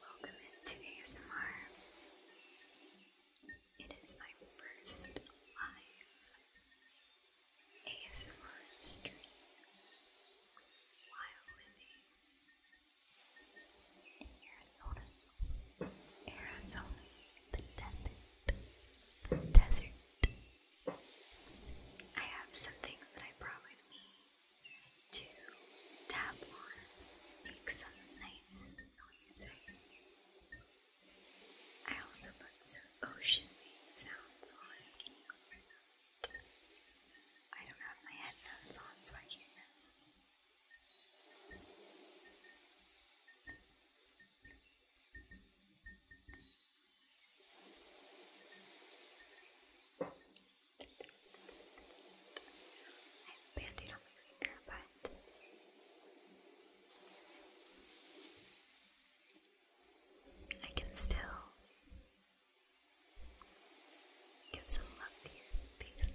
Welcome into ASMR. It is my first live ASMR stream while living in Arizona, Arizona, the desert, the desert. I have some things that I brought with me to tap on, make some nice music. I also put some ocean wave sounds on. I don't have my headphones on, so I can't have banding on my finger, but I can still give some love to your face.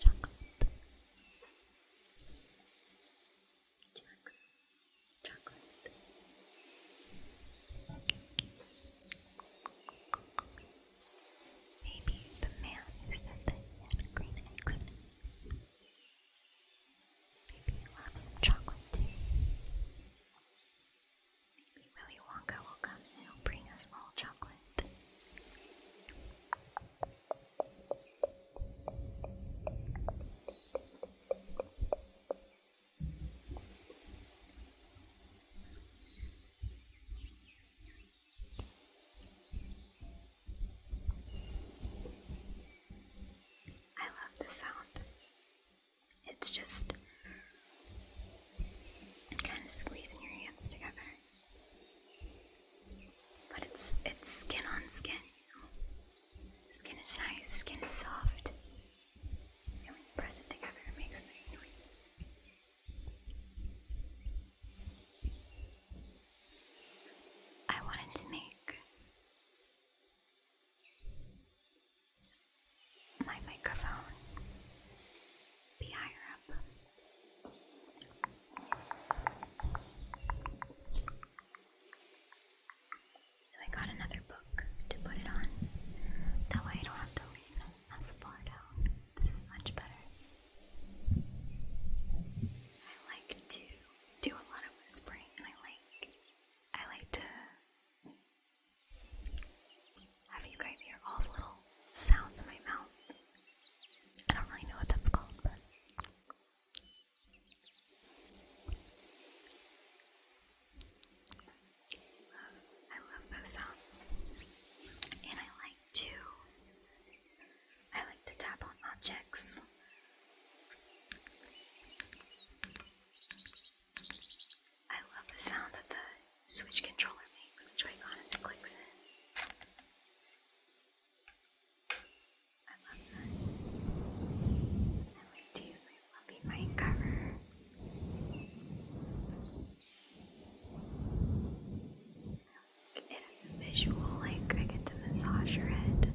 Chocolate. Chocolate. Maybe the man who said that he had green eggs Maybe he'll chocolate too. Willy Wonka will come and he'll bring us all chocolate. I love the sound. It's just kind of squeezing your hands together. But it's it's skin on skin, you know. Skin is nice, skin is soft. And when you press it together it makes noises. I wanted to make my microphone be higher up. So I got another book to put it on. That way I don't have to lean as far down. This is much better. I like to do a lot of whispering I like I like to have you guys hear all the little sounds in my mouth? I don't really know what that's called, but I love those sounds. And I like to I like to tap on objects. I love the sound that the Switch controller makes the Joy-Con as it clicks in. I love that. I'm going to use my cover. It a visual, like I get to massage your head.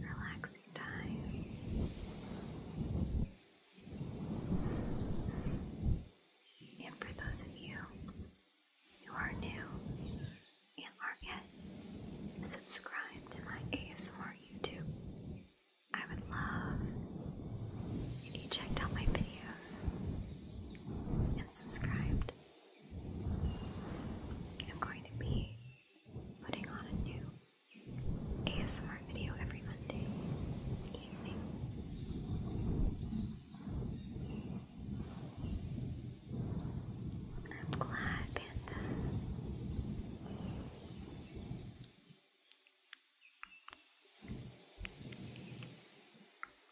Relaxing time. And for those of you who are new and aren't yet subscribed to my ASMR YouTube, I would love if you checked out my videos and subscribed. I'm going to be putting on a new ASMR video every Monday evening. I'm glad, Panda.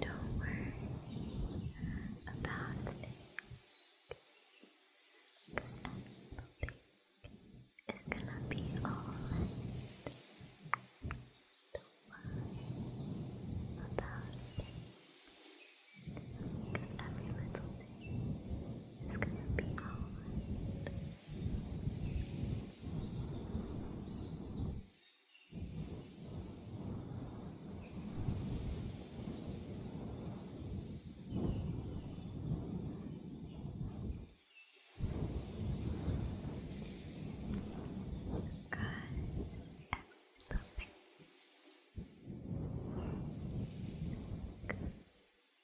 Don't worry about a everything is gonna be alright. Don't worry about a every little thing it's gonna be alright. Good. Good.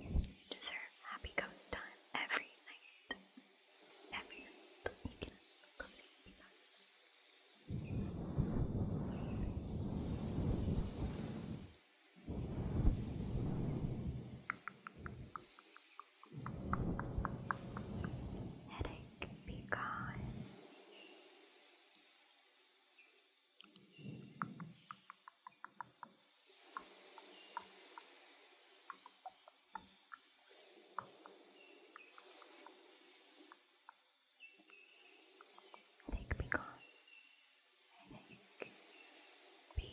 You deserve happy cozy time every night. Every night Headache be gone. Take be gone. Take be gone. Take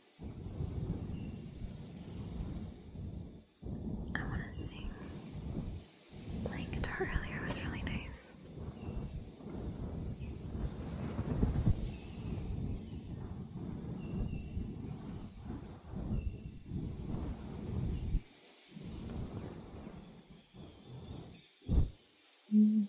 I want to sing. Playing guitar earlier was really nice. Mm.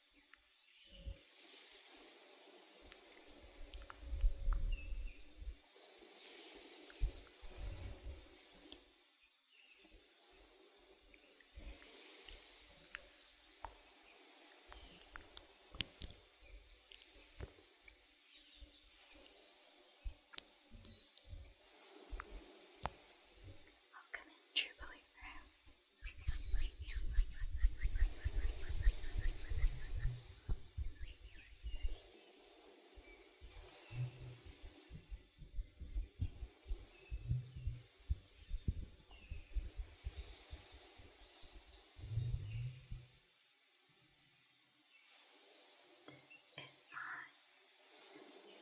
Welcome in, true believer. This is my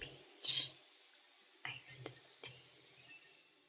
peach iced tea.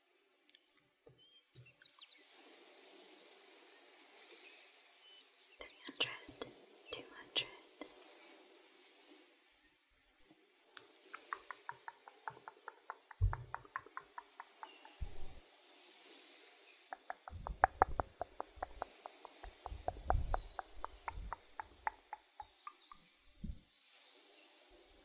three hundred, two hundred,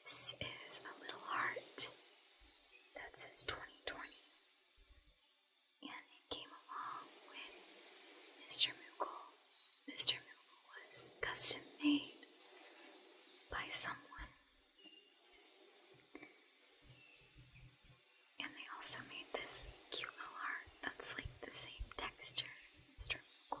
This is a little heart that says 2020, and it came along with Mr. Moogle. Mr. Moogle was custom made by someone and they also made this cute little heart that's like the same texture as Mr. Cool.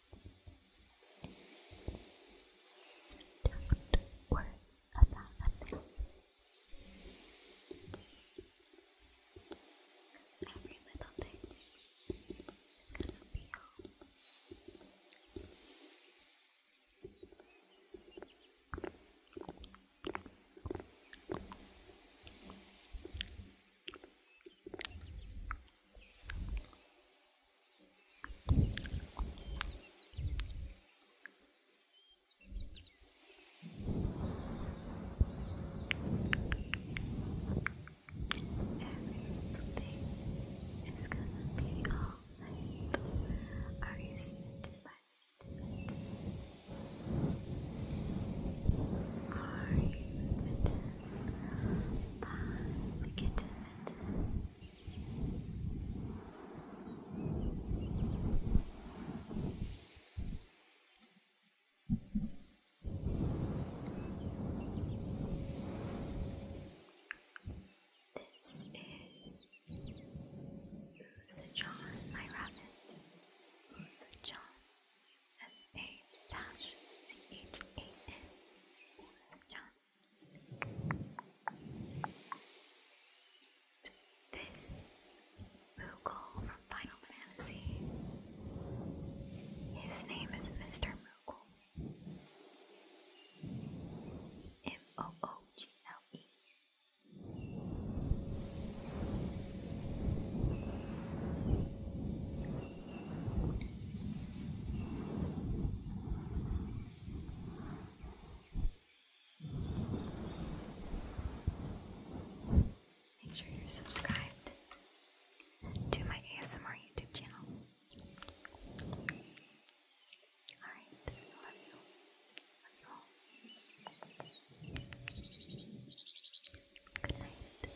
Don't worry about a Because every little thing is gonna be home. Thank you Everything is gonna be alright. Are you scented by the Are you smitten? Bye. This is Usa John, my rabbit. Usa John, you S H dash C H A N This Moogle from Final Fantasy. His name is Mr. Moogle. M O O G L E. Make sure you're subscribed to my ASMR YouTube channel. Alright, love you. Good night.